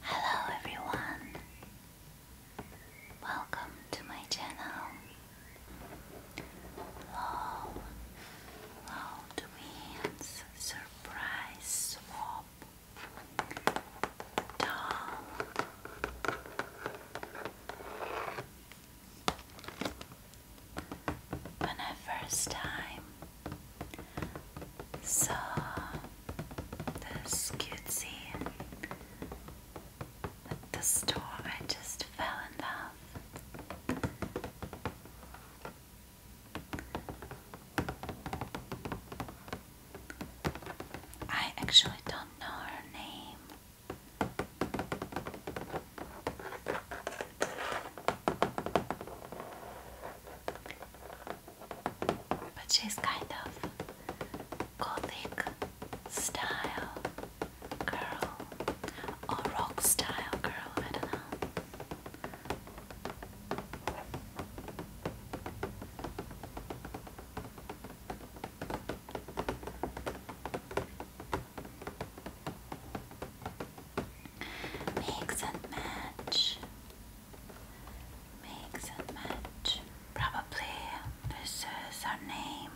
Hello everyone! Welcome to my channel. Low, low to surprise swap. Doll when I first time saw this cutesy at the store, I just fell in love. I actually don't know her name. But she's kind of gothic style girl or rock style girl, I don't know. Mix and match. Mix and match. Probably this is her name.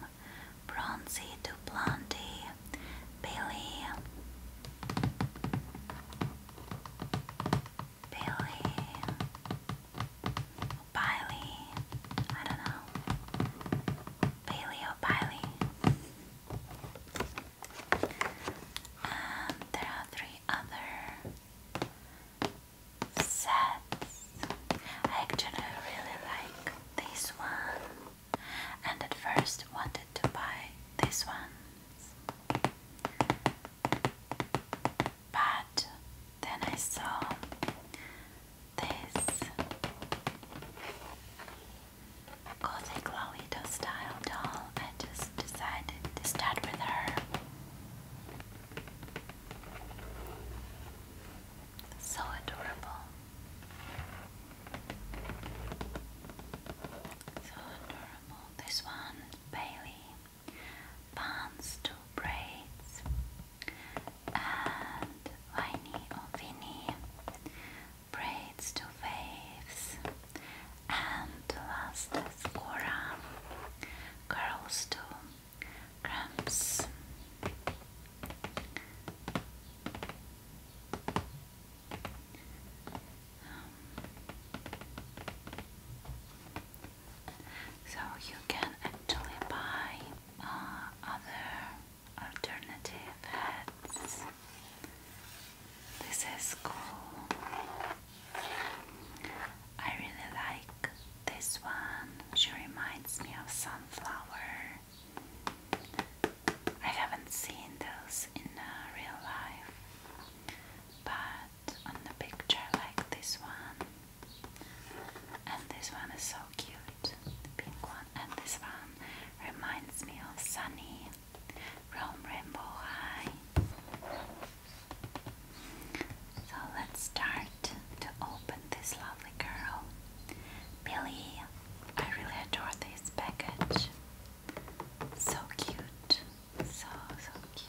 Bronzy to Bailey, Bailey, Billy. O'Biley. I don't know. Billy O'Biley. And there are three other sets. I really like this one, and at first wanted to buy this one, but then I saw this Gothic Lolita style doll. I just decided to start with her. So adorable. So adorable. This one, Bailey, buns, two braids, and Viney or oh, braids to waves, and last is Cora, curls to cramps. Um, so you can actually buy uh, other alternative hats. This is cool. I really like this one. She reminds me of sunflower. I haven't seen those in uh, real life, but on the picture, like this one. And this one is so cute, the pink one. And this one reminds me of Sunny from Rainbow High. So let's start to open this lovely girl. Billy, I really adore this package. So cute. So, so cute.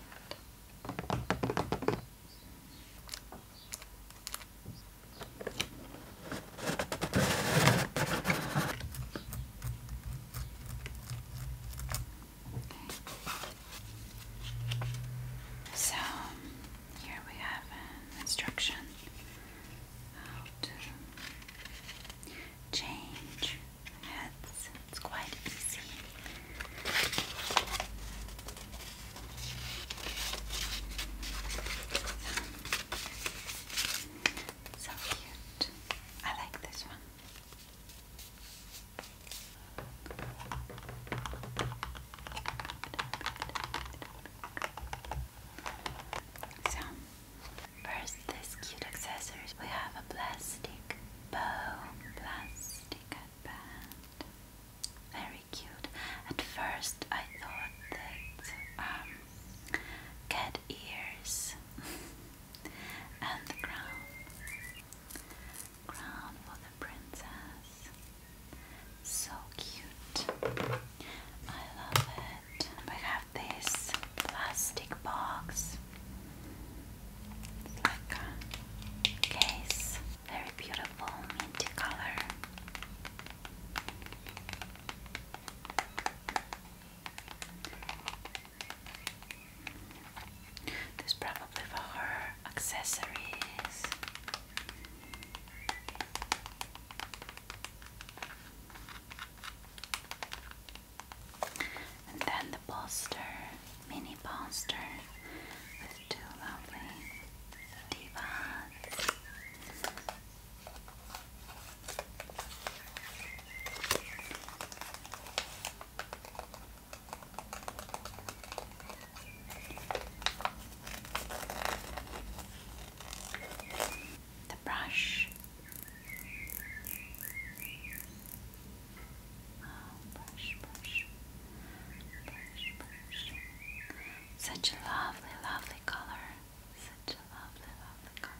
So here we have an instruction how to change heads. It's quite easy. So cute. I like this one. So, first, this cute accessories. We have a plastic bow, plastic headband. Very cute. At first, I thought that um, cat ears and crown. Crown for the princess. So cute. I love it. We have this plastic box. It's case. Very beautiful minty color. This probably for her accessories. And then the poster, mini poster with two lovely divas the brush. Oh, brush, brush, brush, brush. Such a lovely, lovely color. Such a lovely, lovely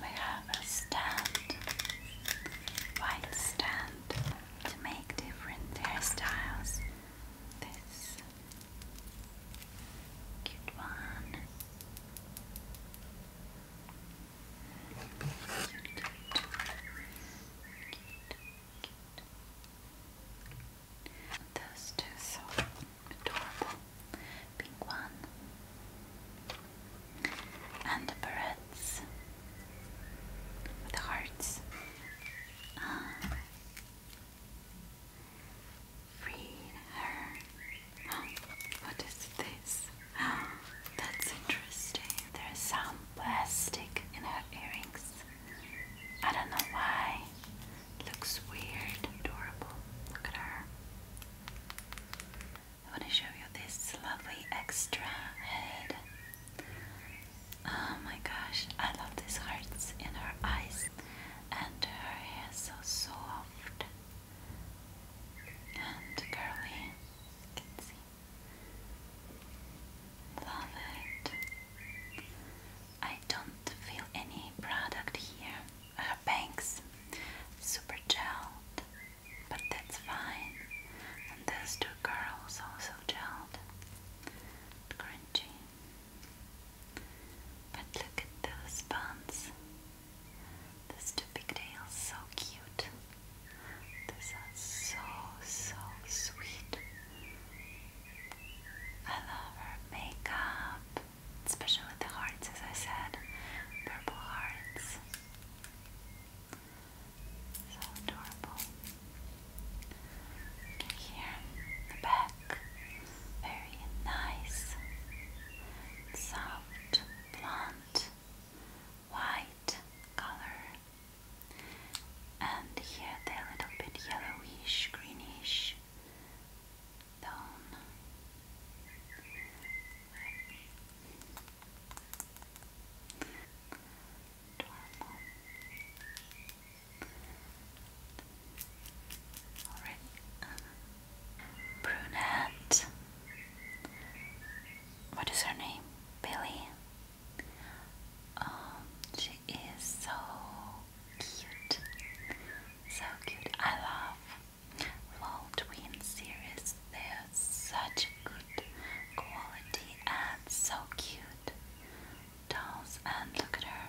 We have a stand, white stand, to make different hairstyles. This cute one. Those two so adorable. Pink one. And the barrettes with hearts. Ah. Read her. what is this? Oh, that's interesting. There's some plastic in her earrings. I don't know why. looks weird, adorable. Look at her. I want to show you this lovely extra head. Oh my gosh, I love these hearts in her eyes, and her hair is so soft and curly. can see Love it. I don't feel any product here. Uh, super gelled, but that's fine. And two girls also gelled, crunchy. But look at those buns. Those two pigtails, so cute. They sound so, so sweet. I love her makeup, especially the hearts, as I said, purple hearts. So adorable. Here the back, very nice, soft, blonde, white color. And here they're a little bit yellowish, greenish tone. Alright. Um, brunette what is her name? Billy. Um, she is so cute. So cute. I love LOL Twin series. They're such good quality and so cute. Dolls and look at her.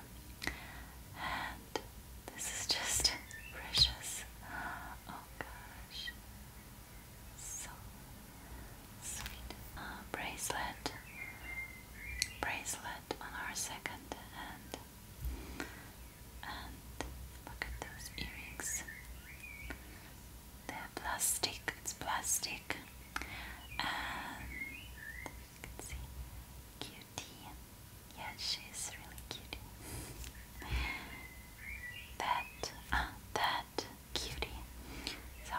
And this is just precious. Oh gosh so sweet uh, bracelet bracelet on our second hand and look at those earrings they're plastic plastic and you can see cutie yeah she's really cute that uh, that cutie. So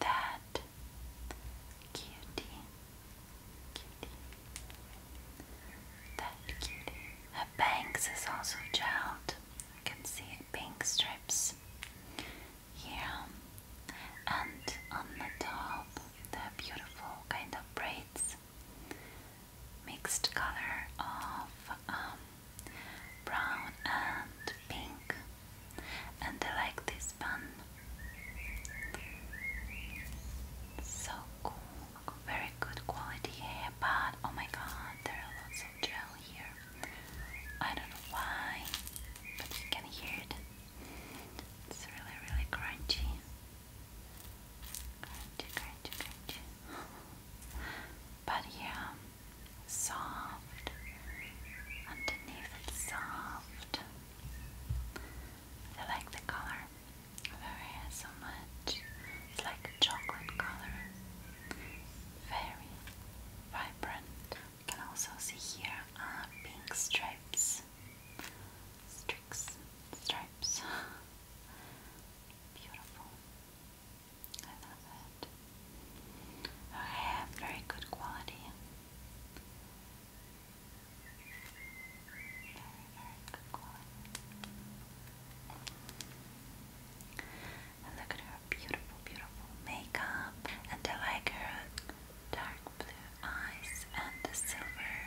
that cutie, cutie, that cutie. Her bangs is also gelled. You can see pink strips here, and on the top, the beautiful kind of braids, mixed color of. Um, brown and pink, and I like this one. So cool, very good quality hair, but oh my god, there are lots of gel here. I don't know why, but you can hear it. It's really, really crunchy. Crunchy, crunchy, crunchy. but yeah, soft, underneath soft. I like the color of so much. It's like a chocolate color, very vibrant. can also see here uh, pink stripes, Strix, stripes, beautiful. I love it. Okay, very good quality. Very, very good quality. look at her beautiful, beautiful makeup. And I like her dark blue eyes and the silver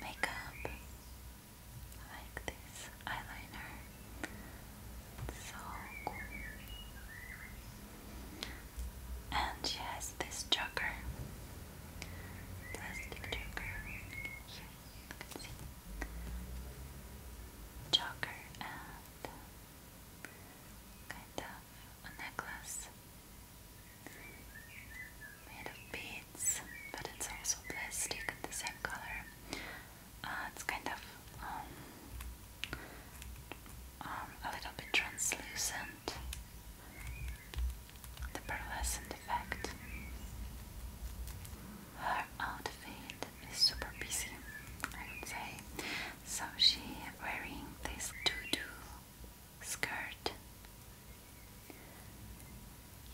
makeup like this eyeliner. It's so cool. And she has this joker, plastic joker. Here you can see joker and kind of a necklace made of beads, but it's also plastic in the same color. Uh, it's kind of um, um, a little bit translucent, the pearlescent effect. Her outfit is super busy, I would say. So she wearing this tutu skirt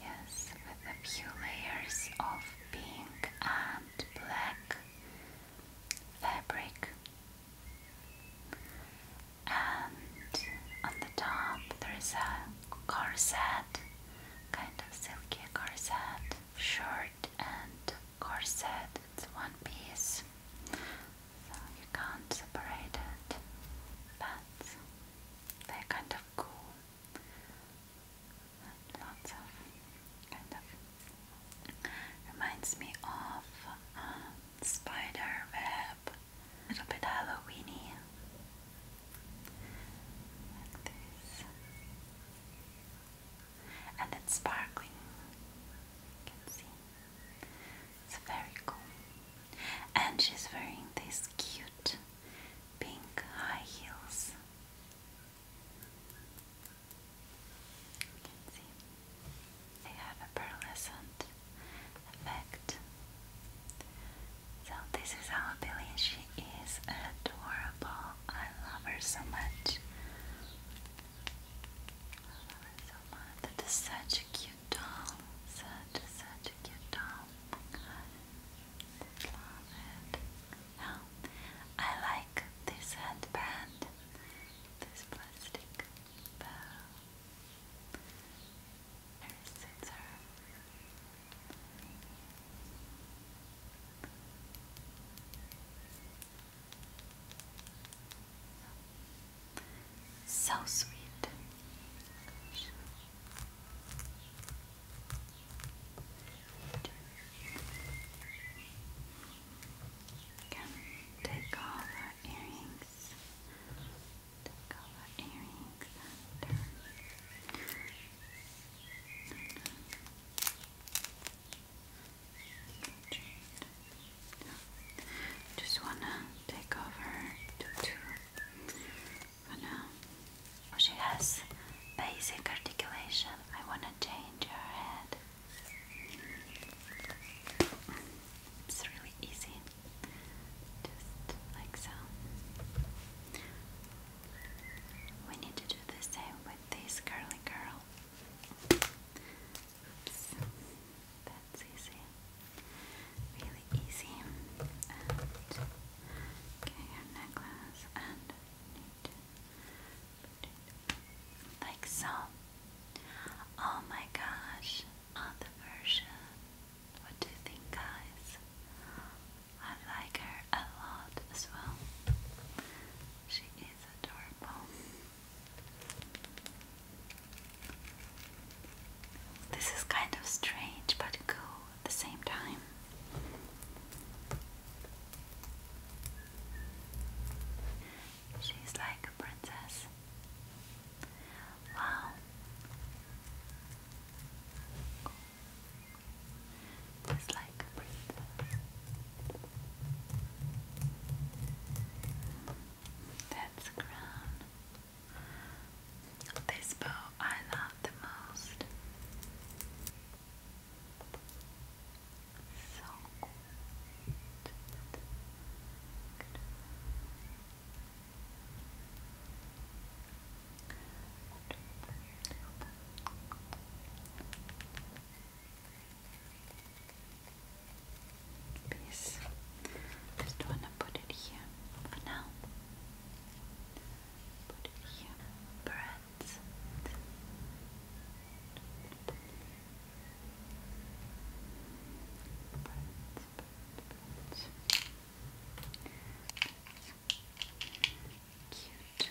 Yes, with a few layers of pink and black fabric. And on the top there is a corset, kind of silky corset, short and corset. It's one piece, so you can't separate it. But they're kind of cool lots of kind of reminds me of uh, spider web, a little bit Halloweeny, like this, and it's sparkling. You can see it's very cool, and she's wearing this cute pink high heels. You can see they have a pearlescent effect. So this is our Billy. She is adorable. I love her so much. I love her so much. That is such a cute doll. Such, such a cute doll. Love it. Now, I like this headband, this plastic bow, her scissor. So sweet. Again, take all our earrings. Take all our earrings Just wanna take over to two for she has basic articulation. I want to change her head. It's really easy. Just like so. We need to do the same with this curly girl. Oops. That's easy really easy. okay, necklace and like so. Oh my gosh, other version. What do you think, guys? I like her a lot as well. She is adorable. This is kind of strange but cool at the same time. She's like a princess. Wow. It's like a princess. That's crown. This bow I love the most. So good. Good. Peace. Just wanna put it here for now. Put it here. Breads. Cute. Cute.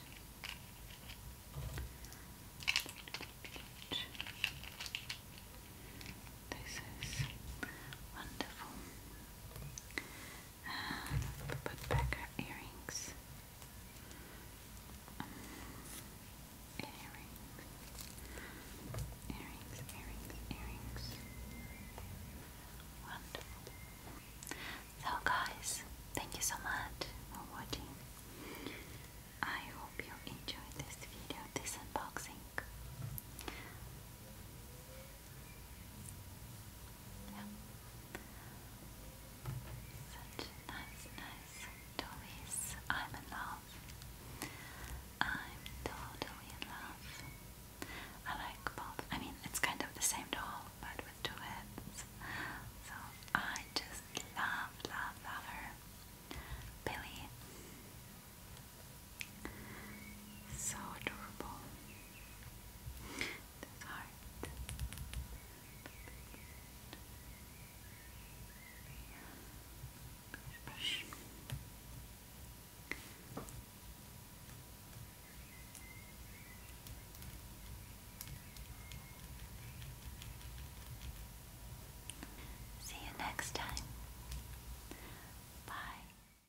This is wonderful. put back our earrings. earrings. Earrings, earrings, earrings. Wonderful. So guys, thank you so much for watching. I hope you enjoyed this video, this unboxing. Yeah. Such nice, nice toys. I'm in love. I'm totally in love. I like both. I mean, it's kind of the same doll, but with two heads. So I just love, love, love her. Billy. So adorable. This heart. See you next time. Bye.